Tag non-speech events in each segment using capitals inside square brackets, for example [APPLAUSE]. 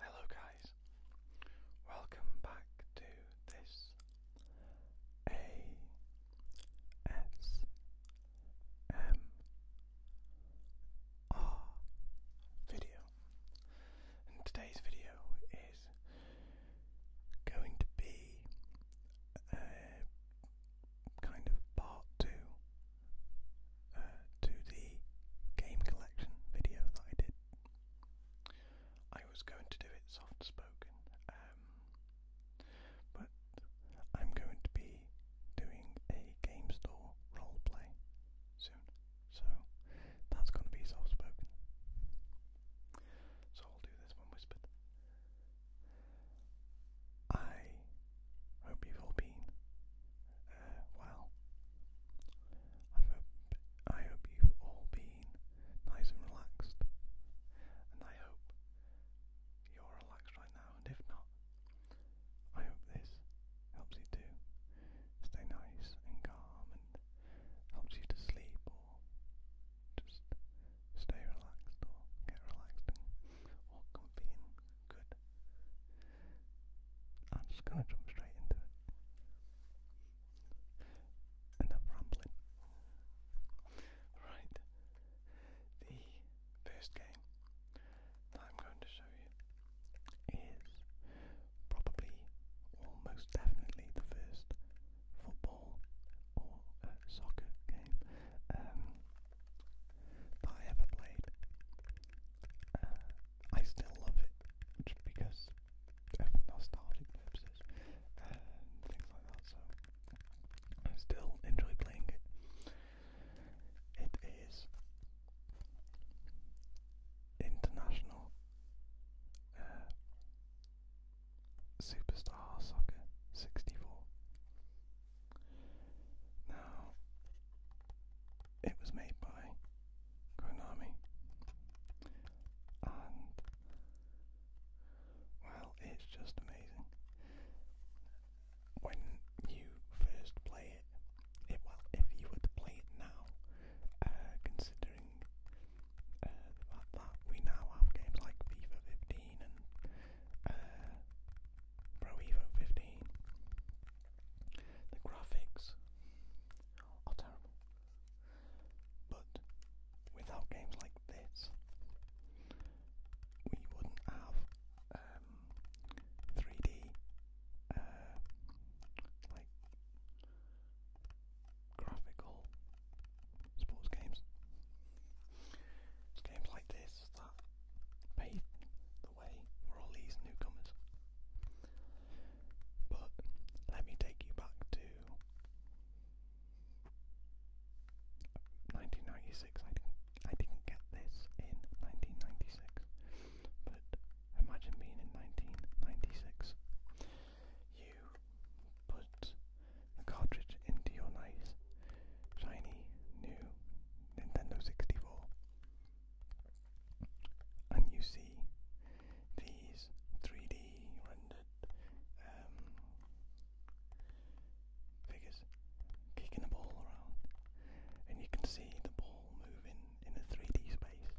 Hello, guys, welcome back to this ASMR video, today's video is going to be a kind of part two uh, to the game collection video that I did. I was going to do it soft spoken, um, but I'm going to be doing a game store roleplay soon, so that's going to be soft spoken. So I'll do this one whispered. I hope you've all been uh, well. I hope I hope you've all been nice and relaxed, and I hope you're relaxed right now. And if not, I hope this helps you to stay nice and calm and helps you to sleep just stay relaxed or get relaxed or comfy and good. I'm just gonna jump straight into it. Enough rambling. Right. The first game I'm going to show you is probably almost definitely the first football or a soccer game um, that I ever played. Uh, I still love it just because of nostalgic purposes and things like that, so I still enjoy playing it. It is international uh, Superstar Soccer 64. Now, it was made by Konami, and well, it's just amazing. When you first play it, it well, if you were to play it now, uh, considering uh, the fact that we now have games like FIFA 15 and uh, Pro Evo 15, the graphics are terrible. But without games like this, we wouldn't have um, 3D uh, like graphical sports games. It's games like this that pave the way for all these newcomers. But let me take you back to 1996. I didn't, I didn't get this in 1996, but imagine being in 1996 you put the cartridge into your nice, shiny new Nintendo 64, and you see these 3D rendered um, figures kicking a ball around, and you can see the ball moving in a 3D space.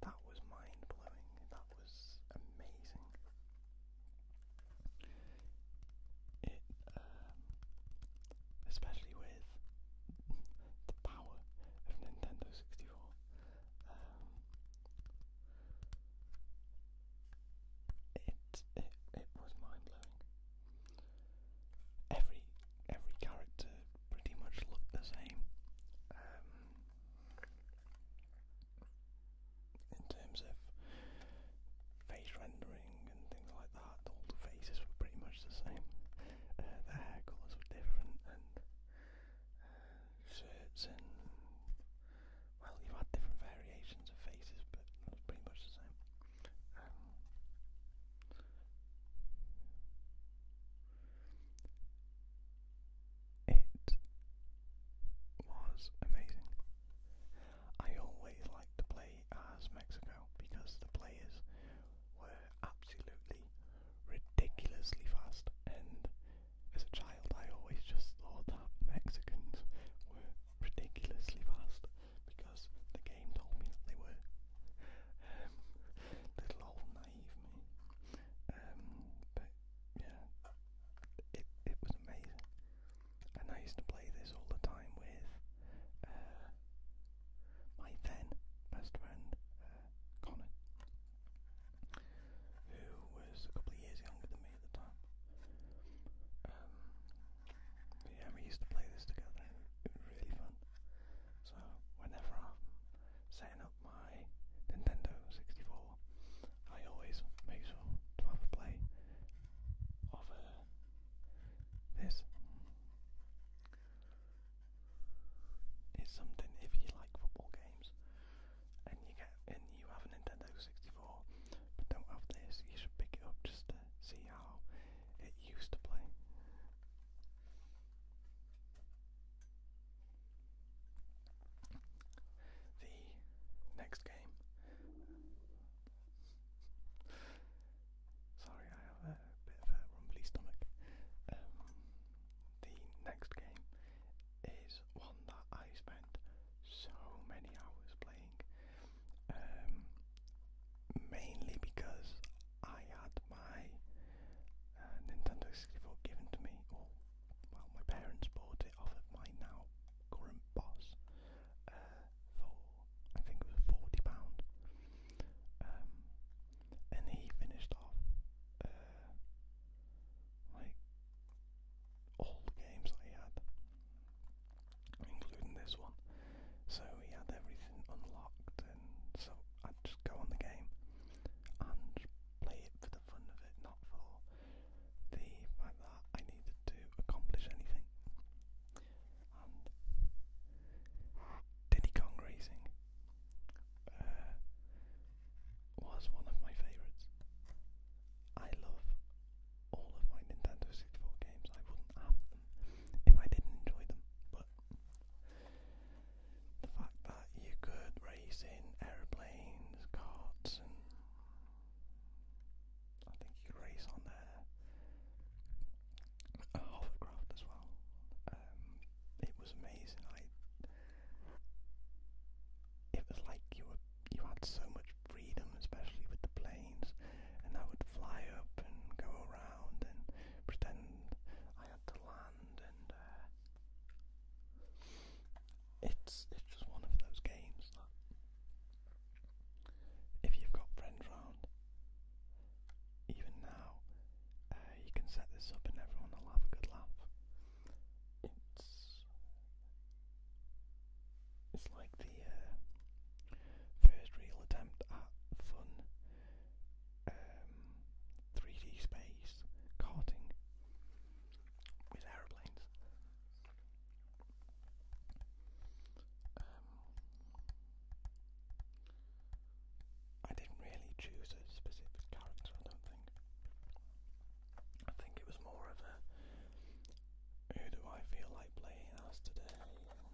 That was mind blowing. That was amazing. It, um, especially with the power of Nintendo 64, um, it, it, was mind blowing. Every every character pretty much looked the same. Um, in terms of face rendering and things like that, all the faces were pretty much the same. Uh, the hair colours were different, and uh, shirts and well, you had different variations of faces, but pretty much the same. Um, it was amazing. I always like to play as Mexico because the players were absolutely ridiculously fast, and as a child, I always just thought that Mexicans were ridiculously fast because the game told me that they were. Um, little old naive me. Um, but yeah, it it was amazing. And I used to play this all the time with uh, my then best friend uh, Connor, who was a couple of years younger than me at the time. Um, yeah, we used to play this together. It was really fun. So whenever I'm saying, out my Nintendo 64, I always make sure to have a play of uh, this. It's something if you like football games and you get and you have a Nintendo 64 but don't have this, you should pick it up just to see how it used to play. The next game. Sorry, I have a bit of a rumbly stomach. Um, the next game is one that I spent so many hours playing, um, mainly because I had my uh, Nintendo 64 given to me, well, my parents bought it off of my now current boss uh, for I think it was forty pound, um, and he finished off uh, like all the games that he had, including this one. So he had everything unlocked, and so I'd just go on the game and play it for the the fun of it, not for the fact that I needed to accomplish anything. And Diddy Kong Racing uh, was one of my favourites. I love all of my Nintendo 64 games. I wouldn't have them if I didn't enjoy them, but the fact that you could race in aeroplanes, carts, and I think you could race on a, a hovercraft as well. Um, it was amazing. I it was like you were you had so much freedom, especially with the planes, and I would fly up and go around and pretend I had to land and. Uh, it's it's just one of those games if you've got friends round, even now, uh, you can set this up and everyone will have a good laugh. It's it's like the uh, first real attempt at fun um, 3D space karting with aeroplanes. Um, I didn't really choose a specific character, I do I think it was more of a who do I feel like playing as today? Um,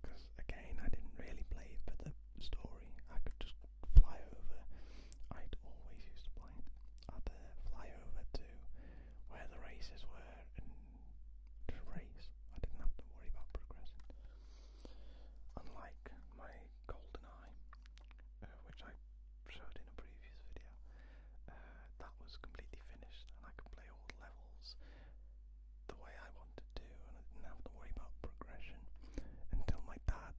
because again I didn't really play for the story. I could just fly over. i always used to play it. I'd fly over to where the races were and just race. I didn't have to worry about progressing. Unlike my golden eye, uh, which I showed in a previous video, uh, that was completely finished and I could play all levels the way I wanted to, and I didn't have to worry about progression until my dad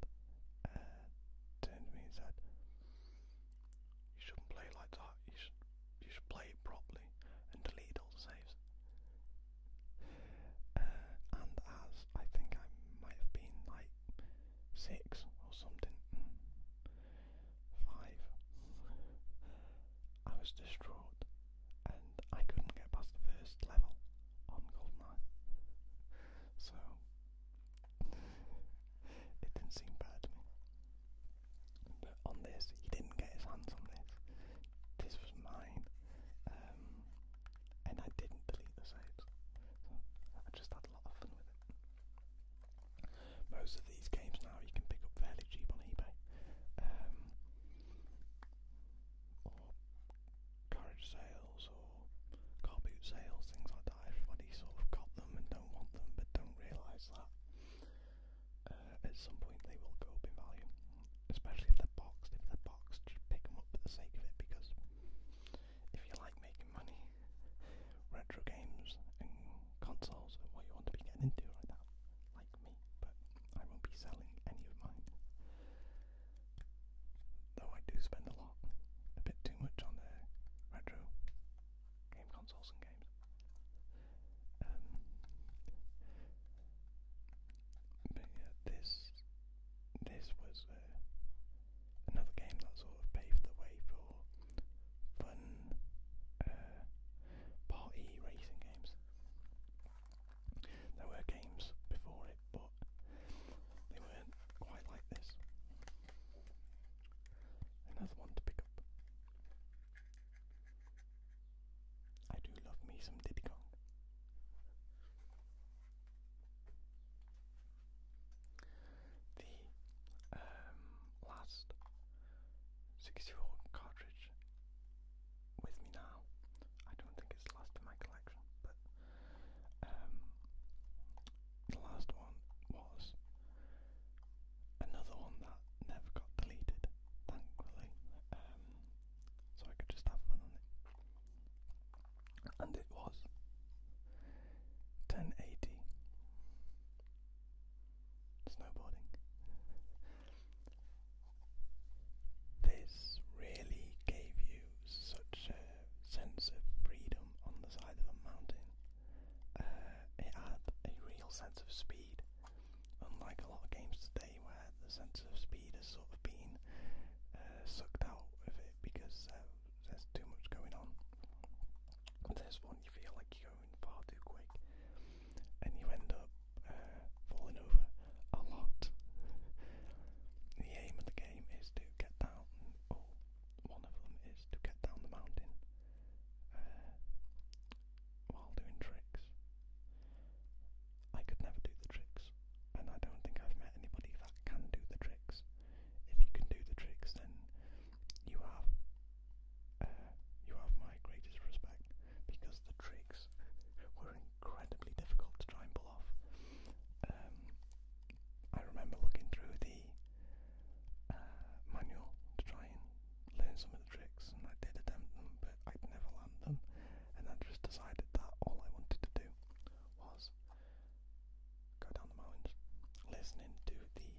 uh, turned to me and said, "You shouldn't play like that. You should you should play properly and delete all the saves." Uh, and as I think I might have been like six or something, five, I was distraught and I couldn't get past the first level on GoldenEye. So [LAUGHS] it didn't seem bad to me. But on this, he didn't get his hands on this. This was mine. Um, and I didn't delete the saves. So I just had a lot of fun with it. Most of these games now you can pick up fairly cheap on eBay. Um, or carriage sales or car boot sales, things like that. Everybody sort of got them and don't want them, but don't realise that uh, at some point they will go up in value, especially if they're boxed. If they're boxed, just pick them up for the sake of it because if you like making money, [LAUGHS] retro games and consoles are what you want to be getting into right now. Like like me, but I won't be selling any of mine. Though I do spend a lot, a bit too much on the retro game consoles and games. Um, but yeah, this this was uh, another game that sort of paved the way for fun uh, party racing games. There were games before it, but they weren't quite like this. Another one to pick up. I do love me some Diddy Kong. The um, last 64 cartridge with me now. I don't think it's the last in my collection, but um, the last one was another one that never got deleted, thankfully. Um, so I could just have fun on it. And it was 1080 snowboarding. This really gave you such a sense of freedom on the side of a mountain. Uh, it had a real sense of speed, unlike a lot of games today where the sense of speed has sort of been uh, sucked out of it because uh, there's too much going on. There's one you feel like you're going far too quick, and you end up uh, falling over a lot. the aim of the game is to get down, or one of them is to get down the mountain uh, while doing tricks. I could never do the tricks, and I don't think I've met anybody that can do the tricks. If you can do the tricks, then you have uh, you have my greatest respect because the tricks were incredibly difficult to try and pull off. Um, I remember looking through the uh, manual to try and learn some of the tricks, and I did attempt them, but I'd never land them. And I just decided that all I wanted to do was go down the mountains, listening to the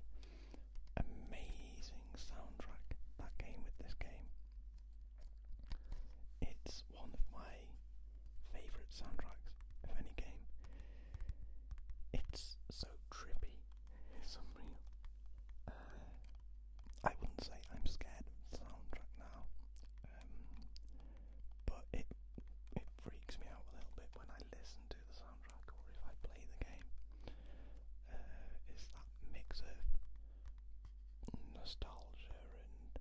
amazing soundtrack that came with this game. It's one of my favourite soundtracks of any game. It's so trippy, it's unreal. Uh, I wouldn't say I'm scared of soundtrack now, um, but it it freaks me out a little bit when I listen to the soundtrack or if I play the game. Uh, it's that mix of nostalgia and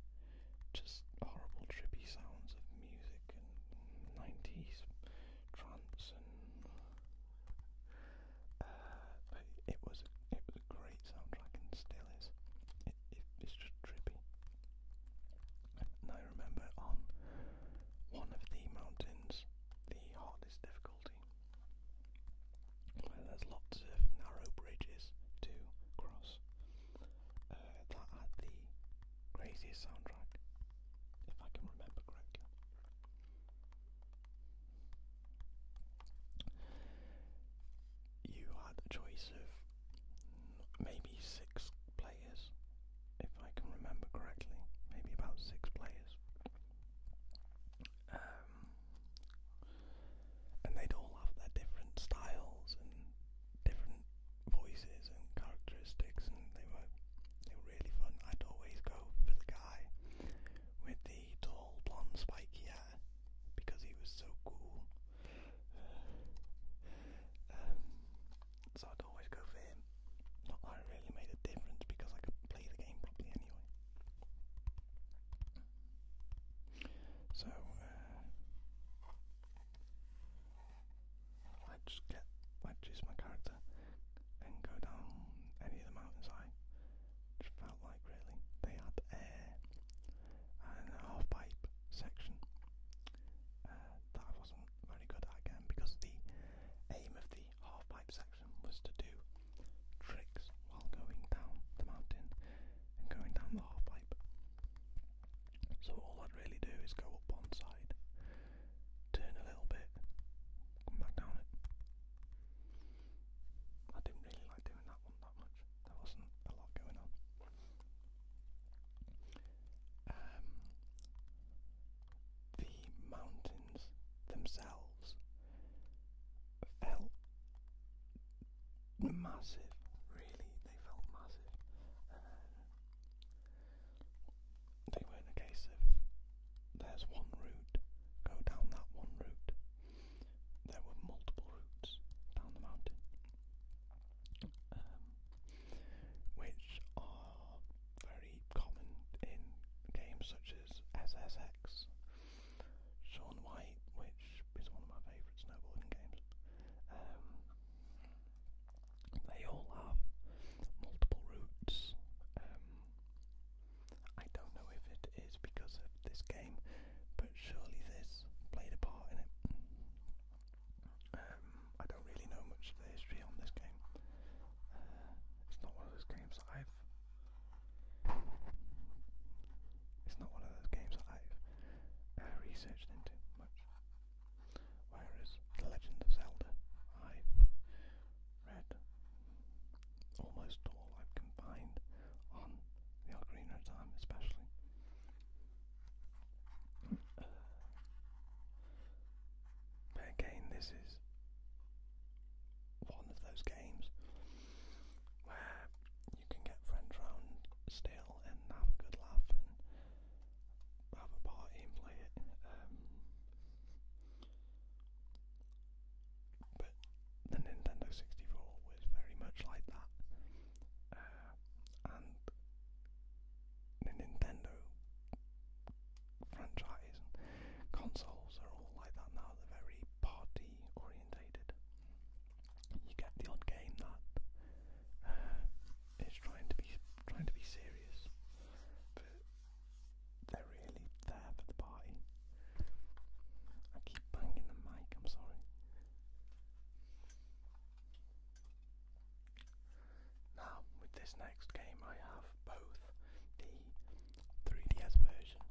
just horrible trippy sounds of music and 90s trance and uh, it was a, it was a great soundtrack and still is. it's just trippy. And I remember on one of the mountains, the hardest difficulty, where there's lots of narrow bridges to cross. Uh, that had the craziest soundtrack, if I can remember correctly. You had a choice of maybe six players, if I can remember correctly, maybe about six players. Um, and they'd all have their different styles and different voices and characteristics, and they were they were really fun. I'd always go for the guy with the tall blonde spiky hair because he was so cool. Um, so I'd always go for him. Not that it really made a difference because I could play the game properly anyway. So uh, let get let choose my character and go down any of the mountains I felt like really. They had air and half pipe section uh, that I wasn't very good at again because the aim of the half pipe section was to do tricks while going down the mountain and going down the halfpipe. So all I'd really do is go up one side, turn a little bit, come back down it. I didn't really like doing that one that much. There wasn't a lot going on. Um, the mountains themselves felt massive. Really, they felt massive. Um, they were in a case of there's one route, go down that one route. There were multiple routes down the mountain, um, which are very common in games such as SSX. Sean White, which is one of my favourite snowboarding games. Um, they all have multiple routes. Um, I don't know if it is because of this game, but surely this played a part in it. Um, I don't really know much of the history on this game. Uh, it's not one of those games that I've it's not one of those games that I've uh, researched into much. Whereas The Legend of Zelda, I've read almost all I can find on the Ocarina of Time, especially. Uh, but again, this is one of those games where you can get friends round still and have a good laugh and have a party and play it. Um, but the Nintendo 64 was very much like that. Uh, and the Nintendo franchise and consoles are all like that now. They're very party orientated you get the odd game that uh, is trying to be trying to be serious, but they're really there for the party. I keep banging the mic. I'm sorry. Now with this next game, I have both the 3DS version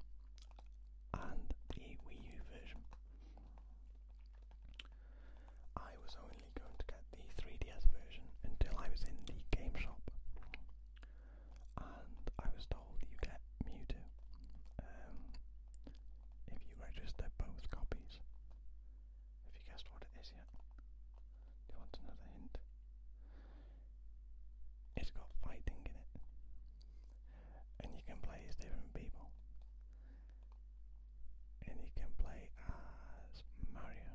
and the Wii U version. I was only going to get the 3DS version until I was in the game shop, and I was told you get Mewtwo um, if you register both copies. Have you guessed what it is yet? Do you want another hint? It's got fighting in it and you can play as different people. And you can play as Mario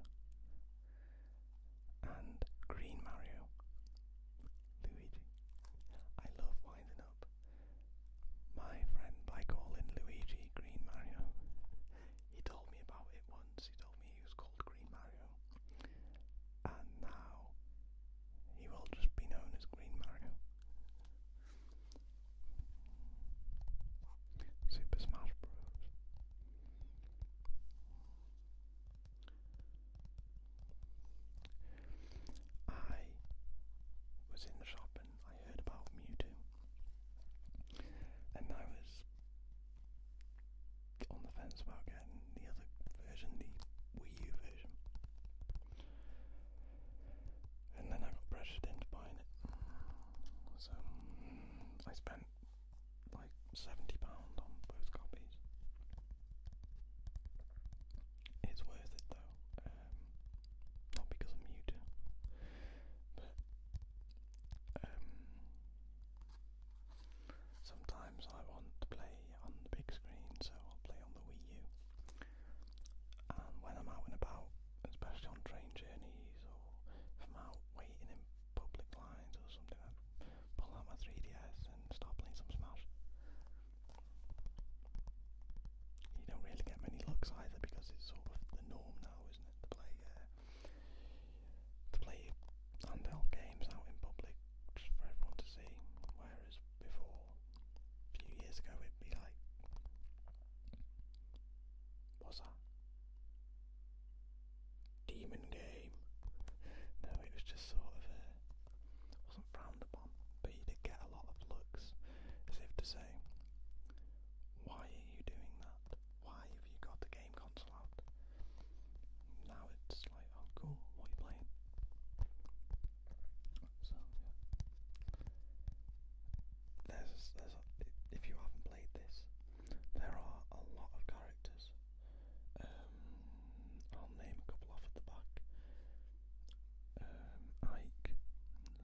and Green Mario, Luigi. I love winding up my friend by calling Luigi Green Mario. He told me about it once, he told me he was called Green Mario and now he will just be known as Green Mario. Super Smash Bros. I was in the shop and I heard about Mewtwo, and I was on the fence about getting the other version, Wii U version. And then I got pressured into buying it. So I spent like £70 on both copies. It's worth it though, um, not because I'm Mewtwo, but um, sometimes I want to play play on the big screen, so I'll play on the Wii U. And when I'm out and about, especially on train journeys or if I'm out waiting in public lines or something, I pull out my 3DS and start playing some Smash. You don't really get many looks either because it's sort of the norm now, isn't it? To play, uh, to play handheld games out in public just for everyone to see, whereas before. A few years ago, it'd be like, what's that? Demon game. No, it was just sort of uh, wasn't frowned upon, but you did get a lot of looks as if to say, why are you doing that? Why have you got the game console out? Now it's like, oh cool, what are you playing? if you haven't played this, there are a lot of characters. Um, I'll name a couple off at the back. Um, Ike,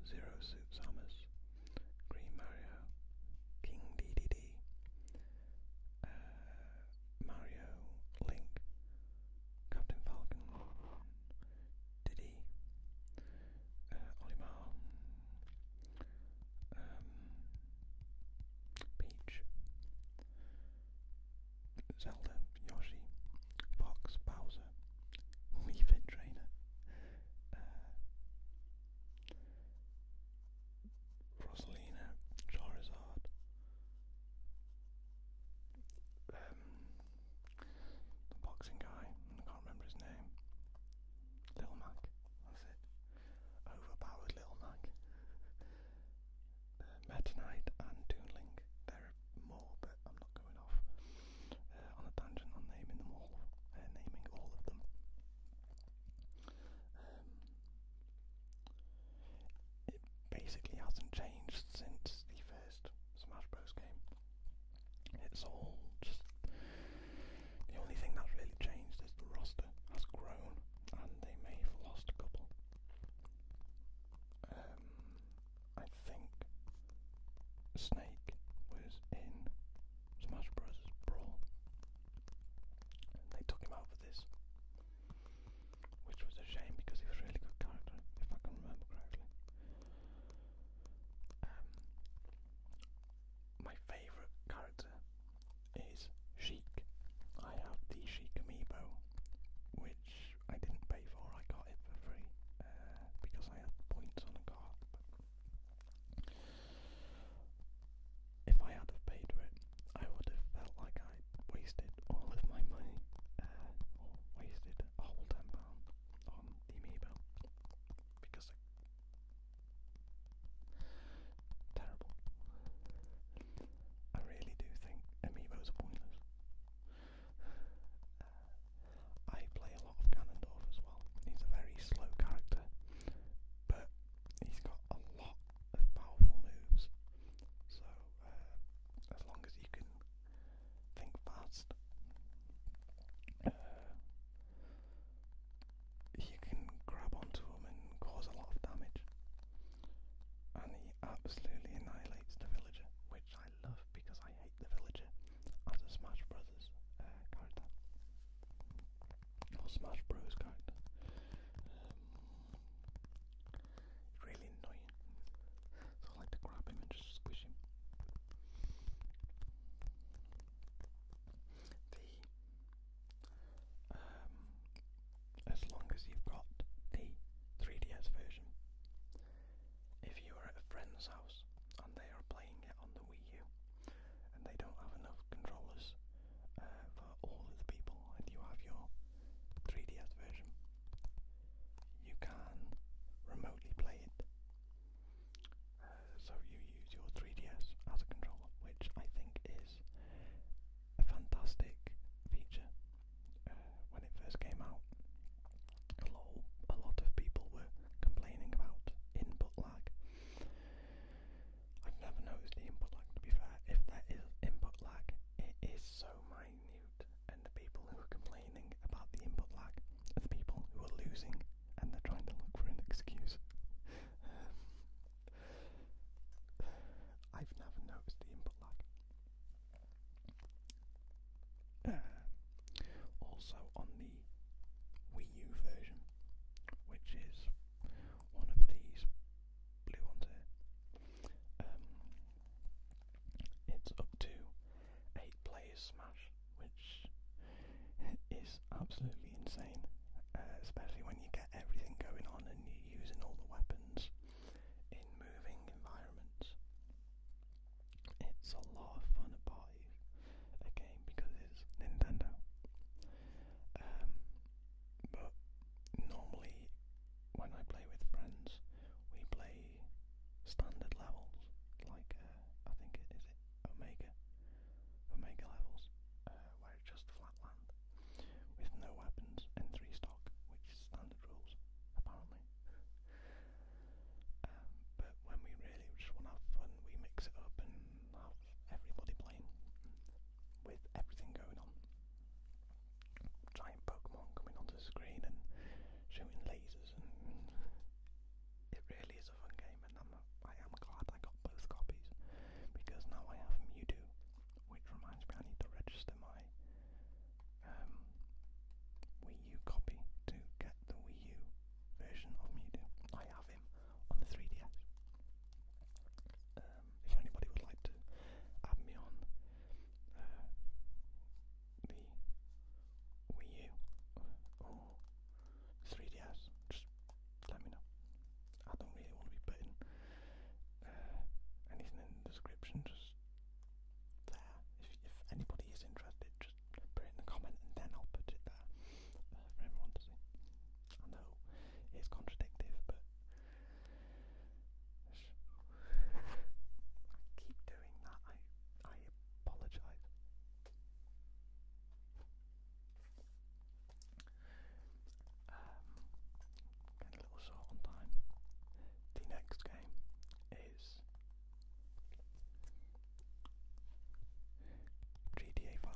Zero Suit Samus, Green Mario, King DDD, Mario, Link, Captain Falcon, Diddy, uh, Olimar, um, Peach, Zelda, Yoshi, Fox, Bowser, [LAUGHS] Wii Fit Trainer, uh, Rosalina, Charizard, um, the boxing guy, I can't remember his name. Little Mac, that's it. Overpowered Little Mac. uh, and Toonlink. There are more, but I'm not going off uh, on a tangent on naming them all, uh, naming all of them. Um, it basically hasn't changed since the first Smash Bros game. It's all just the only thing that's really changed is the roster has grown and they may have lost a couple. Um, I think Snake was in Smash Bros. Brawl. they took him out for this which was a shame because he was a really good character, if I can remember correctly. Um, my favourite character is Sheik. I have the Sheik amiibo, which I didn't pay for. I got it for free uh, because I had points on a card. But if I had have paid for it, I would have felt like I I wasted all of my money, uh, or wasted a whole £10 on the Amiibo because they're terrible. I really do think Amiibos are pointless. Uh, I play a lot of Ganondorf as well. He's a very slow character, but he's got a lot of powerful moves. So uh, as long as you can think fast, uh, you can grab onto him and cause a lot of damage. And he absolutely annihilates the villager, which I love because I hate the villager as a Smash Brothers uh, character or Smash Bros character. Um, Really annoying. So I like to grab him and just squish him. The um, as long as you've got the 3DS version, if you are at a friend's house and they are playing it on the Wii U, and they don't have enough controllers uh, for all of the people, and you have your 3DS version, you can remotely play it. Uh, so you use your 3DS as a controller, which I think is a fantastic feature. Uh, when it first came out, a lot, a lot of people were complaining about input lag. I've never noticed the input lag to be fair. If there is input lag, it is so minor and the people who are complaining about the input lag the people who are losing and they're trying to look for an excuse. I've never noticed the input lag. Um, also on the Wii U version, which is one of these blue ones here, um, it's up to eight players smash, which is absolutely insane, uh, especially when you get everything going on and you're using all the weapons in moving environments. It's a lot of fun to buy a game because it's Nintendo. Um, but normally when I play with friends, we play standard levels, like uh, I think it is it Omega, Omega levels, uh, where it's just flat land with no weapons and three stock, which is standard rules apparently. um, but when we really just want to have fun, we mix it up and have everybody playing with everything going on giant Pokemon coming onto the screen and shooting lasers, and [LAUGHS] it really is a fun game. And I'm glad I got both copies because now I have Mewtwo, which reminds me I need to register my um, Wii U copy to get the Wii U version of Mewtwo. I have him on the 3DS. Um, if anybody would like to add me on uh, the Wii U or 3DS, just let me know. I don't really want to be putting uh, anything in the description, just there. If, anybody is interested, just put it in the comment and then I'll put it there uh, for everyone to see. I know it's contradictive, but keep doing that. I I apologize. Um, a little short on time. The next game is GTA 5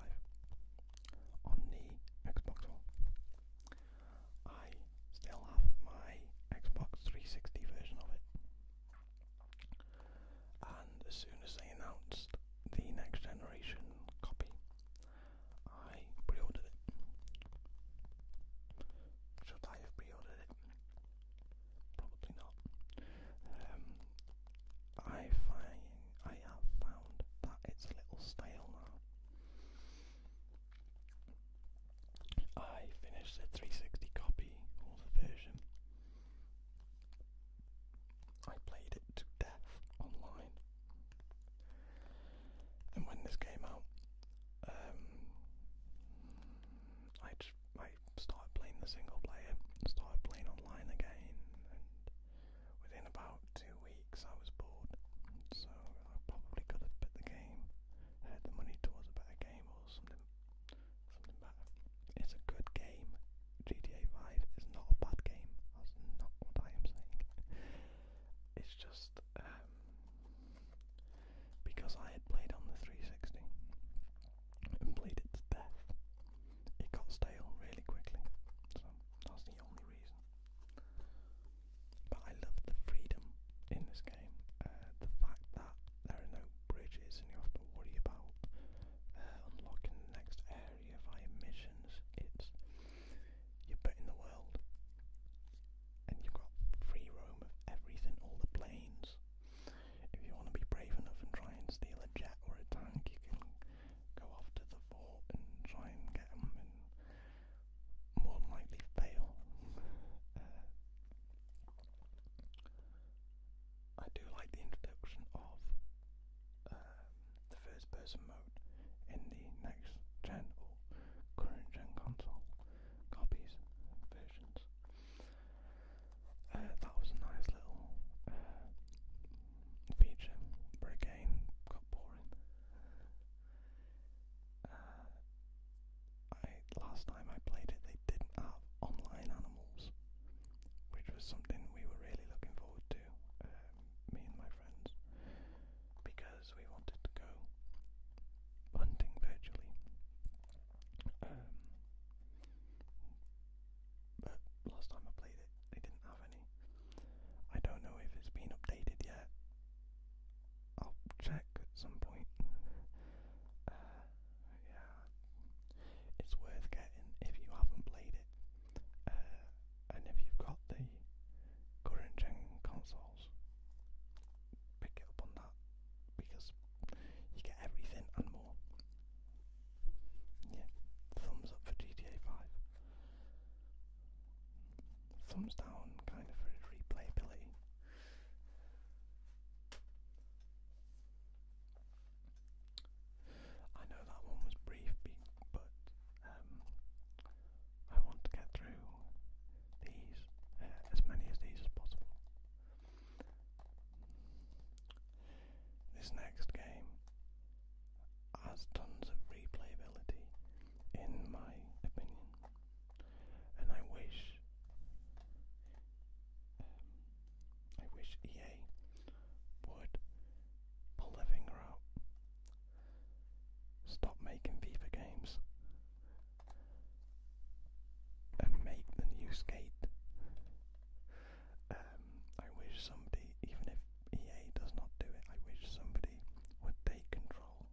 on the Xbox One. I still have my Xbox 360 version of it. And as soon as they announced the next generation copy, I pre ordered it. Should I have pre ordered it? Probably not. Um, I find I have found that it's a little stale now. I finished the 360 copy version. I played it to death online. And when this came out, um, I, I started playing the single player, started playing online again, and within about two weeks I was bored, so I probably could have bet the game, had the money towards a better game or something, something better. It's a good game. GTA 5 is not a bad game. That's not what I am saying. It's just um, because I had played on the 360 and played it to death. It got stale really quickly, so that's the only reason. But I love the freedom in this game. Uh, the fact that there are no bridges and you have to worry about uh, unlocking the next area via missions. It's you're put in the world and you've got free roam of everything, all the planes. If you want to be brave enough and try and steal a jet or a tank, you can go off to the fort and try and get them more than likely fail. uh, I do like the introduction of um, the first person mode in the next gen or current gen console copies versions. Uh, that was a nice little uh, feature, but again, got boring. Uh, I last time I played it, they didn't have online animals, which was something we were really looking forward to, um, me and my friends, because we wanted to go hunting virtually. Um, but last time I played it, they didn't have any. I don't know if it's been updated yet. I'll check at some point. [LAUGHS] uh, yeah, it's worth getting if you haven't played it, uh, and if you've got the current gen consoles, pick it up on that because you get everything and more. Yeah, thumbs up for GTA 5 thumbs down kind of for replayability. I know that one was brief, but um, I want to get through these, uh, as many as these as possible. This next game has tons of replayability, in my opinion and I wish I wish EA would pull their finger out, stop making FIFA games, and make the new skate. Um, I wish somebody, even if EA does not do it, I wish somebody would take control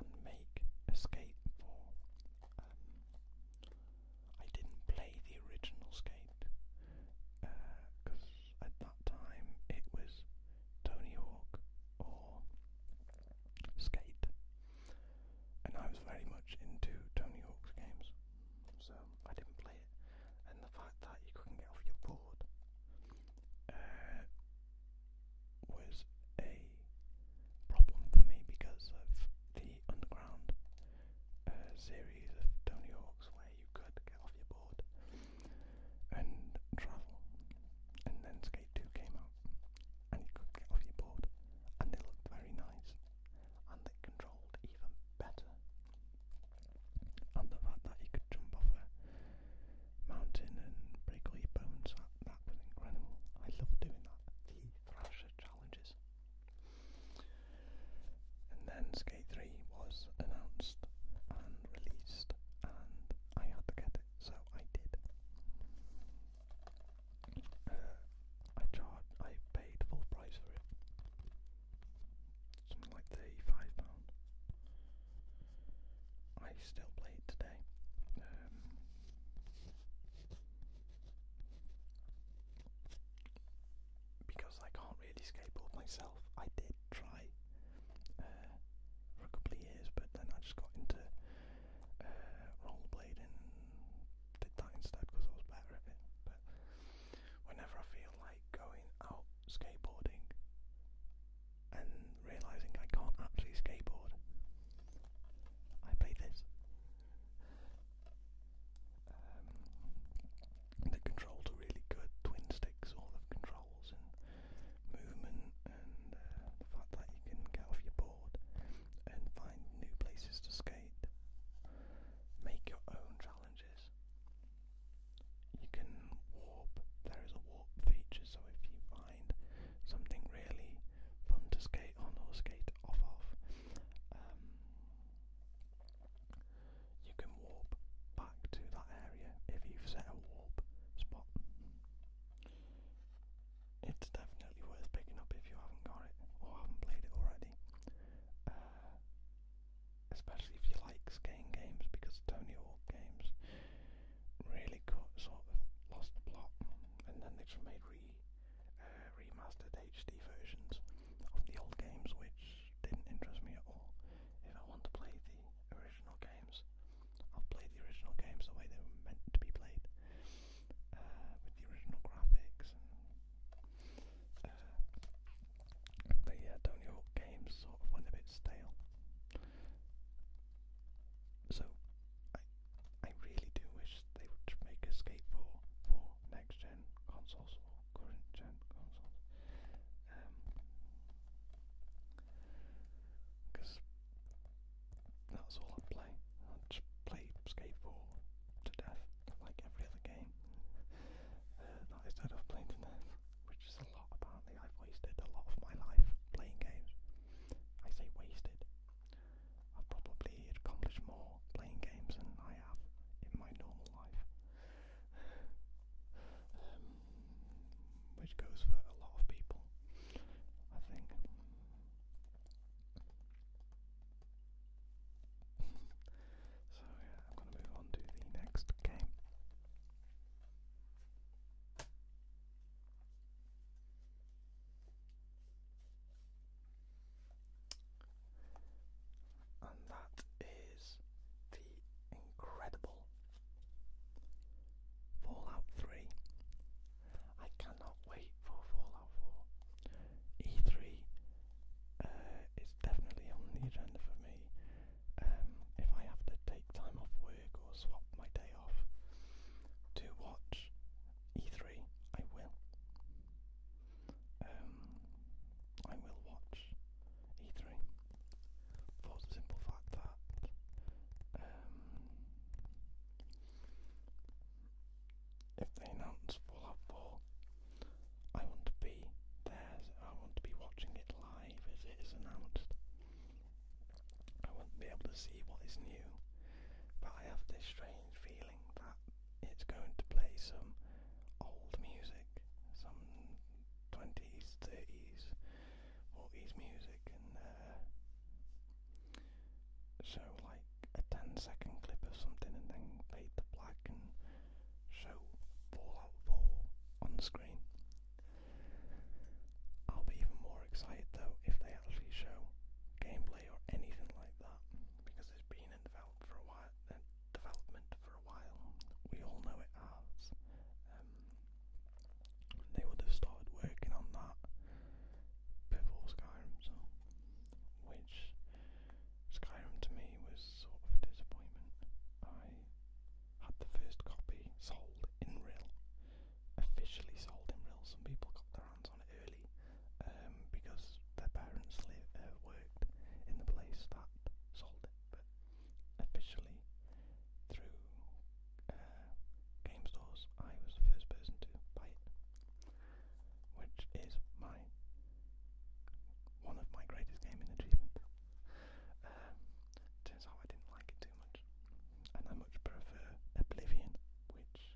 and make Escape 4. Um, I didn't play the original Skate because uh, at that time it was Tony Hawk or Skate, and I was very much into Tony Hawk's games, so I didn't play it. And the fact that you couldn't get off your board uh, was a problem for me because of the underground uh, series of Tony Hawk's where you could get off your board and travel. And then Skate 2 came out and you could get off your board and they looked very nice and they controlled even better. And the fact that you could jump off a mountain and break away bones. That, was incredible. I love doing that. The Thrasher challenges. And then Skate 3 was announced and released, and I had to get it, so I did. Uh, I charged, I paid full price for it. Something like £35. I still play it today. Um, because I can't really skateboard myself. I did try uh, for a couple of years, but then I just got into uh, rollerblading and did that instead because I was better at it. But whenever I feel like going out skateboarding, and realizing I can't actually skateboard, I played this. Um, the controls are really good, twin sticks, all of controls and movement, and uh, the fact that you can get off your board and find new places to skate, make your own challenges you can warp. There is a warp feature, so if you find something really fun to skate on or skate off of, um, you can warp back to that area if you've set a warp spot. It's definitely worth picking up if you haven't got it or haven't played it already. Uh, especially if you like skating games because Tony Hawk games really cut, sort of lost the plot, and then they just made re uh, remastered HD versions of the old games, which didn't interest me at all. If I want to play the original games, I'll play the original games the way they were meant to be played, uh, with the original graphics. And, uh, but yeah, Tony Hawk games sort of went a bit stale. So I I really do wish they would make a skate for for next gen consoles or current gen consoles. Um because that's all I play. I just play skate 4 to death, like every other game. Uh, not instead of playing to death which is a lot apparently. I've wasted a lot of my life playing games. I say wasted. I've probably accomplished more playing games than I have in my normal life. um, which goes for a lot of people, I think. so yeah, I'm going to move on to the next game. And that is the incredible Fallout 3. I cannot wait for Fallout 4. E3 uh, is definitely on the agenda for me um, if I have to take time off work or swap my day off to watch E3, I will. Um, I will watch E3 for the simple fact that um, if they announce Fallout 4, I want to be there, I want to be watching it live as it is announced. I won't be able to see what is new, but I have this strange feeling that it's going to play some old music, some 20s, 30s, Maltese music, and uh, show like a ten-second clip of something and then fade to black and show Fallout 4 on the screen. I'll be even more excited though if they actually show gameplay or anything like that because it's been in develop for a while, uh, development for a while. We all know it has. Um, they would have started working on that before Skyrim, so which Skyrim to me was sort of a disappointment. I had the first copy sold in real, officially sold in real. Some people got their hands on it early um, because their parents lived, uh, worked in the place that sold it, but officially through uh, game stores, I was the first person to buy it, which is my one of my greatest gaming achievements. Um, turns out I didn't like it too much, and I much prefer Oblivion, which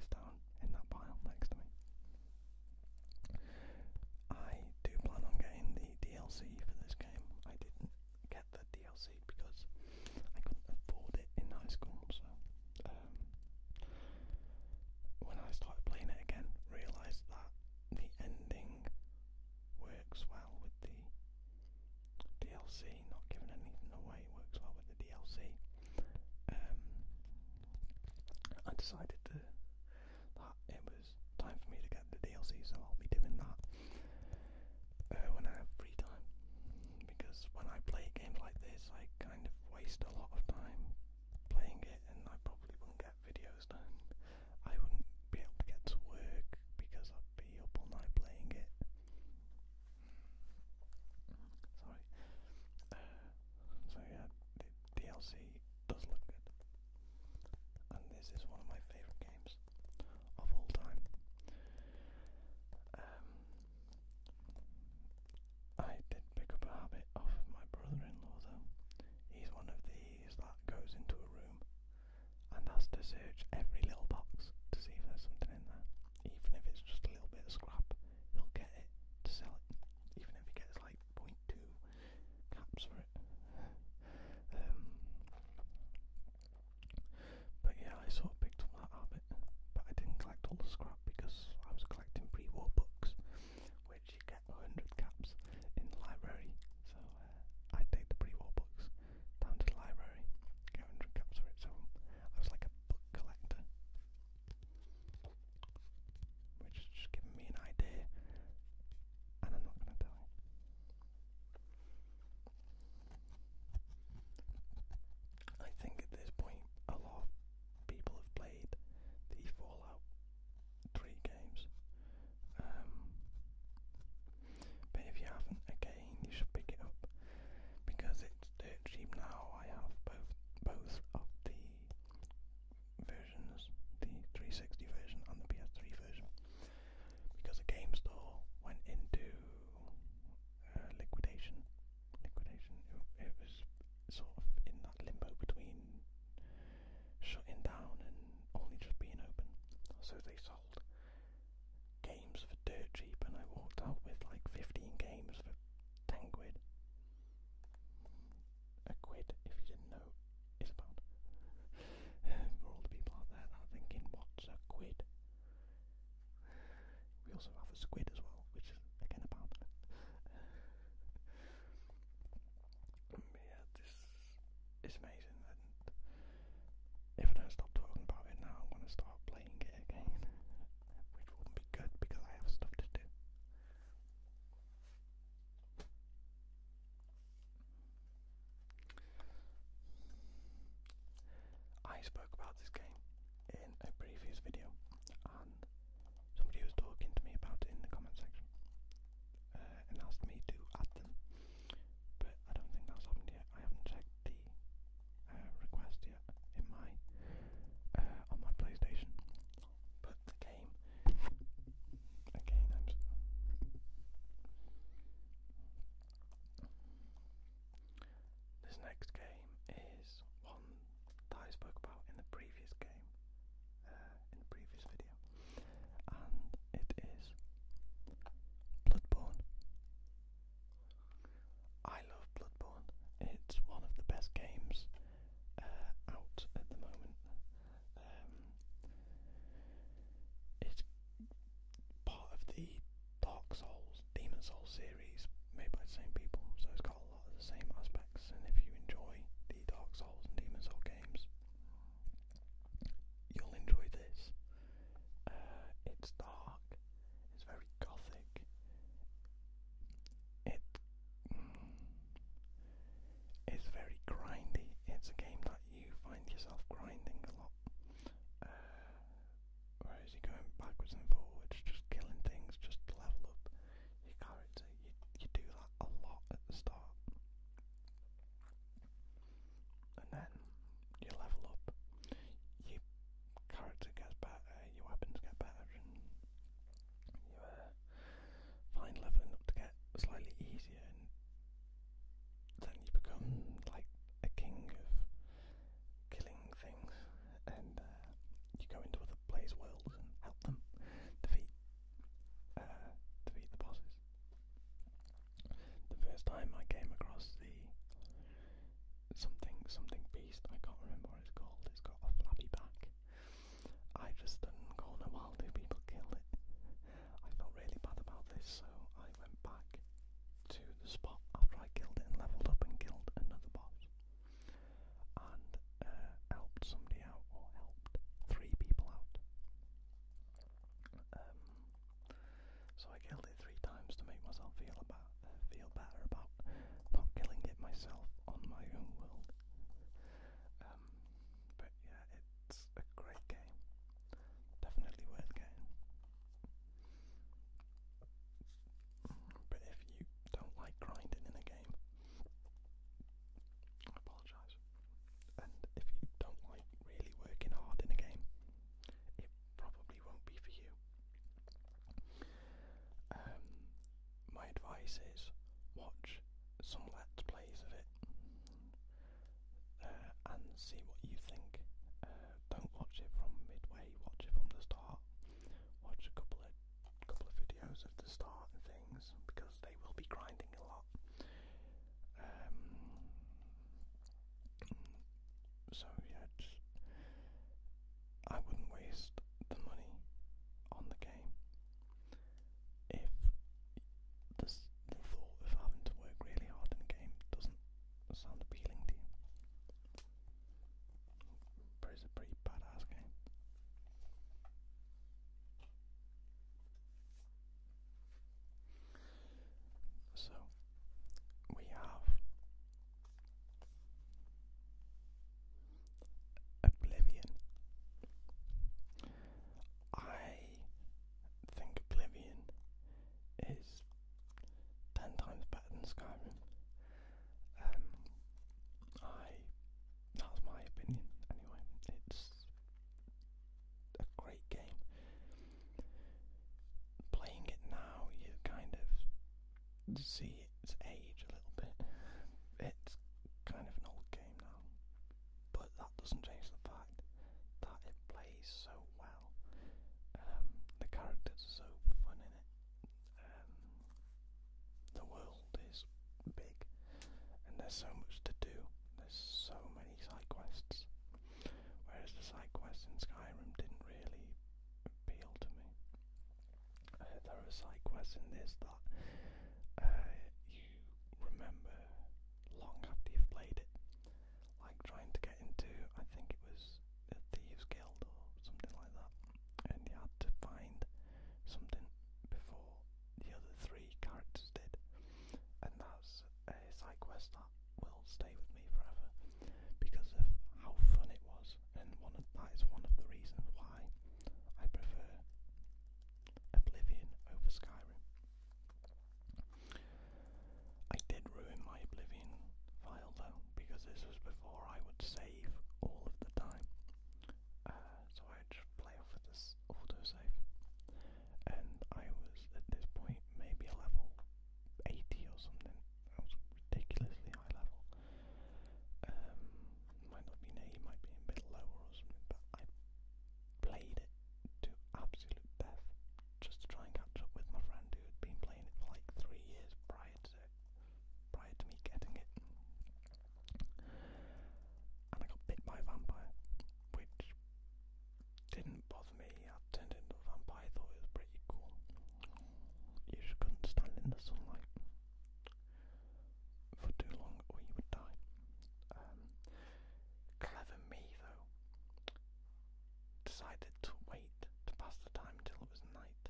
is down in that pile next to me. I do plan on getting the DLC for this game. I didn't get the DLC because I couldn't afford it in high school, so um, when I started playing it again, realised that the ending works well with the DLC, not giving anything away, works well with the DLC. Um, I decided to, that it was time for me to get the DLC, so I'll be doing that uh, when I have free time. Because when I play games like this, I kind of waste a lot of time playing it, and I probably won't get videos done. I wouldn't be able to get to work because I'd be up all night playing it. Sorry. Uh, so yeah, the DLC does look good. And this is one of my favourite games of all time. Um, I did pick up a habit off of my brother-in-law though. He's one of these that goes into a room and has to search every little box to see if there's something in there. Even if it's just a little bit of scrap, he'll get it to sell it. Even if he gets like 0.2 caps for it. um, but yeah, I sort of picked up that habit. But I didn't collect all the scrap because I was collecting pre-war books, which you get 100 caps in the library. So uh, I'd take the pre-war books down to the library, go and capture it. So I was like a book collector, which has just given me an idea, and I'm not going to tell you. I think at this point a lot of people have played the Fallout three games. Um, but if you haven't, again, you should pick it up because it's dirt cheap now. I have both both of the versions, the 360 version and the PS3 version, because the game store went into uh, liquidation. Liquidation. it was sort of in that limbo between shutting down and only just being open. So they sold games for dirt cheap, and I walked out with like 15 games for 10 quid. A quid, if you didn't know, is a pound. [LAUGHS] for all the people out there that are thinking, what's a quid? We also have a squid as well, which is again a pound. [LAUGHS] yeah, this it's amazing. And if I don't stop talking about it now, I'm going to start playing it again, which wouldn't be good because I have stuff to do. I spoke about this game in a previous video, and somebody was talking to me about it in the comment section uh, and asked me to add them but I don't think that's happened yet. I haven't checked the uh, request yet in my uh, on my PlayStation, but the game again. i this next game is one that I spoke about in the previous game, uh, in the previous video and it is Bloodborne. I love Bloodborne. It's one of the best games uh, out at the moment. Um, it's part of the Dark Souls, Demon Souls series made by the same people, so it's got a lot of the same aspects. And if you enjoy the Dark Souls and Demon Souls games, you'll enjoy this. Uh, it's dark, it's very gothic. It mm, it's very grindy. It's a game that you find yourself grinding a lot. Uh, you're going backwards and forwards, just killing things, just level up your character. You you do that a lot at the start and then you level up, your character gets better, your weapons get better, you uh, find leveling to get slightly easier, and then you become like a king of killing things, and uh, you go into other players' worlds and help them defeat uh, defeat the bosses the first time I came across the something something beast, I can't remember what it's called, it's got a flabby back. I just stood in the corner while two people killed it. I felt really bad about this, so I went back to the spot after I killed it and leveled up and killed another boss. And uh, helped somebody out, or helped three people out. Um, so I killed it three times to make myself feel about feel better about not killing it myself on my own world. Um, but yeah, it's a great game. Definitely worth getting. But if you don't like grinding in a game, I apologise. And if you don't like really working hard in a game, it probably won't be for you. Um, my advice is watch some let's plays of it uh, and see what you think. Uh, don't watch it from midway, watch it from the start. Watch a couple of couple of videos of the start and things because they will be grinding a lot. Um, so yeah, just I wouldn't waste the money on the game if this, the thought of having to work really hard in the game doesn't sound appealing to you. But it's a pretty badass game. So we have Oblivion. I think Oblivion is ten times better than Skyrim. Um, I that's my opinion anyway. It's a great game. Playing it now, you kind of see its age a little bit. It's kind of an old game now, but that doesn't change the fact that it plays so well. Um, the characters are so fun in it. Um, the world is big, and there's so much to do. There's so many any side quests. Whereas the side quests in Skyrim didn't really appeal to me. Uh, there are side quests in this that uh, you remember long after you've played it. Like trying to get into, I think it was a Thieves Guild or something like that. And you had to find something before the other three characters did. And that's a side quest that will stay with me forever because of how fun it was, and one of, that is one of the reasons why I prefer Oblivion over Skyrim. I did ruin my Oblivion file though, because this was before I would save all of the time. Uh, so I just play off with the is autosave. And I was at this point maybe a level 80 or something. I was ridiculously high level. Um, might not be nay, might be a bit lower or something, but I played it to absolute death just to try and catch up with my friend who had been playing it for like three years prior to prior to me getting it. And I got bit by a vampire, which didn't bother me. I turned into a vampire, thought it was pretty cool. You just couldn't stand in the sunlight for too long or you would die. Um, clever me though decided to wait to pass the time until it was night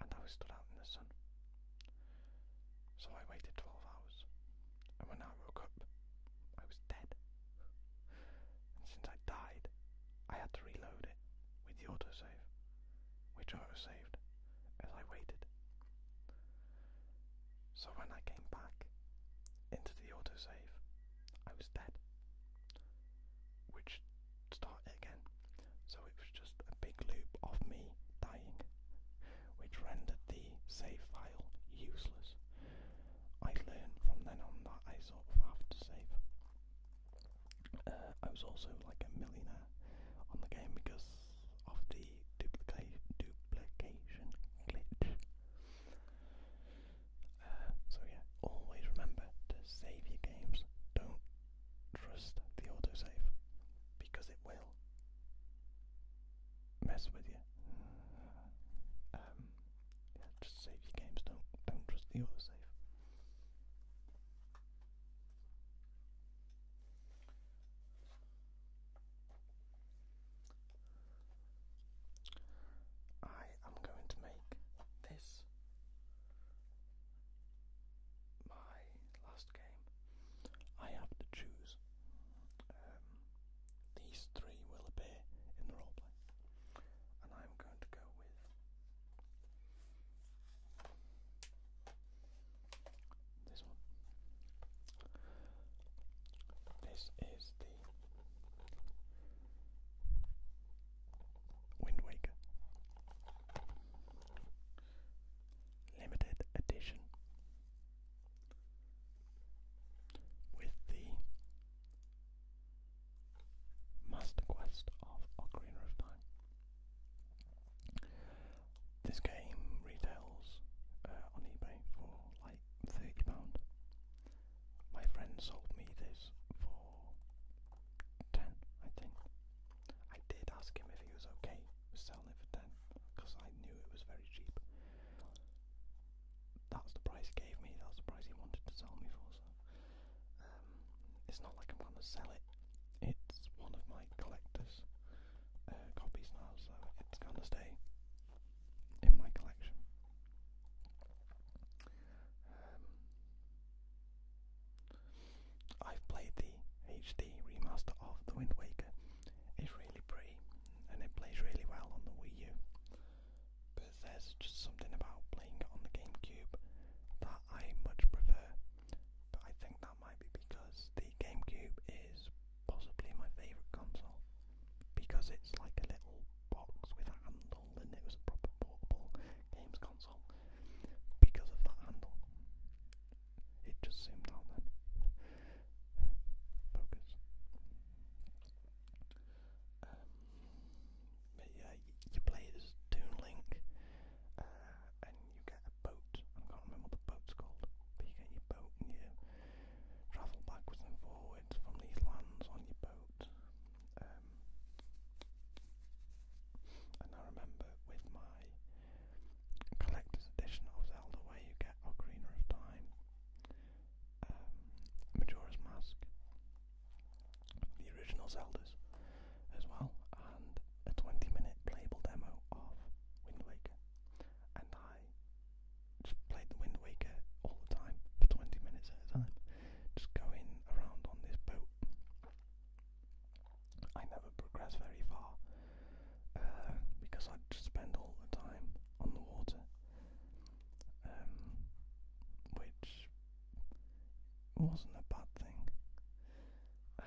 and I was stood out in the sun. So I waited 12 hours and when I woke up, I was dead. And since I died, I had to reload it with the autosave, which autosaved as I waited. So when I came back into the autosave, I was dead, which started again. So it was just a big loop of me dying which rendered the save file useless. I learned from then on that I sort of have to save. Uh, I was also like a millionaire on the game because of the duplication glitch. Uh, so yeah, always remember to save your games. Don't trust the autosave because it will mess with you. Um, just save your games. Don't don't trust the autosave. I am going to make this my last game. I have to choose. Um, these three will appear in the roleplay. And I'm going to go with this one. This is the Wind Waker Limited Edition with the Master Quest of Ocarina of Time. This game retails uh, on eBay for like £30. My friend sold me this for 10 I think. I did ask him if he was okay was selling it for 10 because I knew it was very cheap. That's the price he gave me, that's the price he wanted to sell me for. So um, It's not like I'm going to sell it, it's one of my collector's uh, copies now, so it's going to stay in my collection. Um, I've played the HD remaster of The Wind Waker it's really pretty and it plays really well on the Wii U. But there's just something about playing it on the GameCube that I much prefer. But I think that might be because the GameCube is possibly my favourite console. Because it's like a little box with a handle and it was a proper portable games console. Because of that handle it just seemed all that uh, focus. Um, you, play as Toon Link, uh, and you get a boat. I can't remember what the boat's called, you get your boat and you travel backwards and forwards from these lands on your boat. Um, and I remember with my collector's edition of Zelda where you get Ocarina of Time, um, Majora's Mask, the original Zeldas as well, and a 20 minute playable demo of Wind Waker. And I just played the Wind Waker all the time for 20 minutes at a time, just going around on this boat. I never progressed very far uh, because I just spend all the time on the water, um, which wasn't a bad thing. Uh,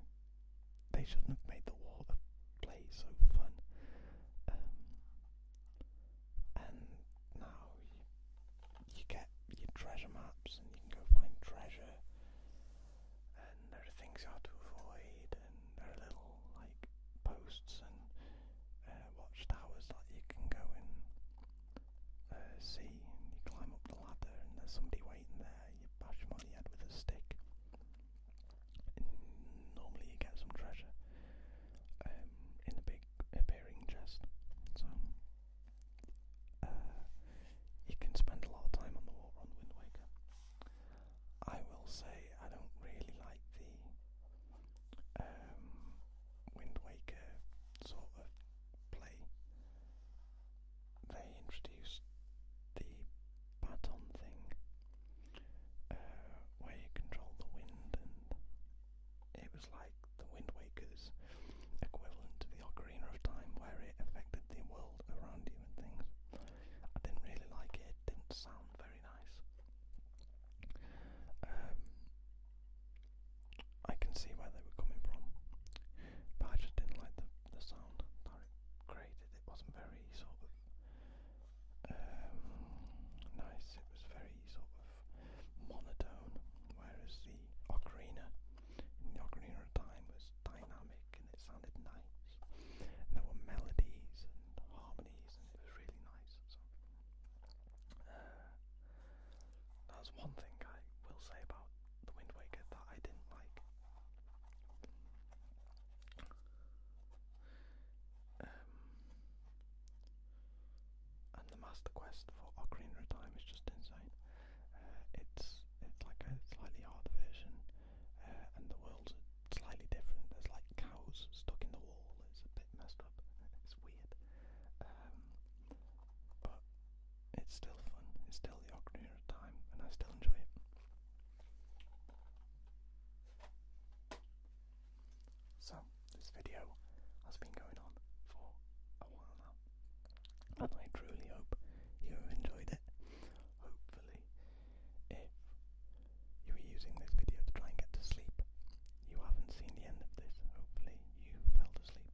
[SIGHS] they shouldn't have made the water play so fun. Um, and now you, you get your treasure maps and you can go find treasure and there are things you have to avoid, and there are little like posts and uh, watchtowers that you can go and uh, see. And you climb up the ladder, and there's somebody waiting there. You bash them on the head with a stick. And normally, you get some treasure um, in a big appearing chest. So. Uh, you can spend a lot of time on the water on Wind Waker. I will say I don't really like the um, Wind Waker sort of play. They introduced the baton thing uh, where you control the wind, and it was like the Wind Waker's equivalent to the Ocarina of Time, where it affected the world around you and things. I didn't really like it. It didn't sound very nice. Um, I can see where they were coming from, but I just didn't like the the sound that it created. It wasn't very sort of um, nice. It was very sort of monotone. Whereas the ocarina, in the ocarina of time, was dynamic and it sounded nice. And there were melodies and harmonies and it was really nice. So uh, that's one thing I will say about the Wind Waker that I didn't like. Um, and the Master Quest for Ocarina of Time is just insane. Uh, it's it's like a slightly hard version, uh, and the worlds slightly different. There's like cows stuck in the wall. It's a bit messed up. [LAUGHS] It's weird. Um, but it's still fun. It's still the Ocarina of Time, and I still enjoy it. So, this video has been going on for a while now, and I truly hope you have enjoyed it. Hopefully, if you were using this video to try and get to sleep, you haven't seen the end of this. Hopefully, you fell asleep.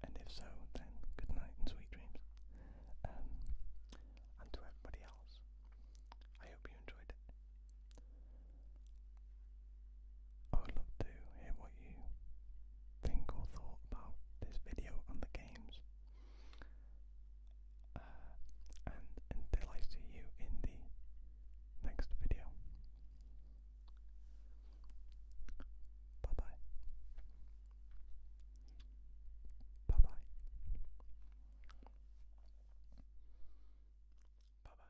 And if so, then good night and sweet dreams. Um, and to everybody else, I hope you enjoyed it. I would love to hear what you think or thought about this video and the games uh, and until I see you in the next video, bye bye. Bye bye. Bye bye.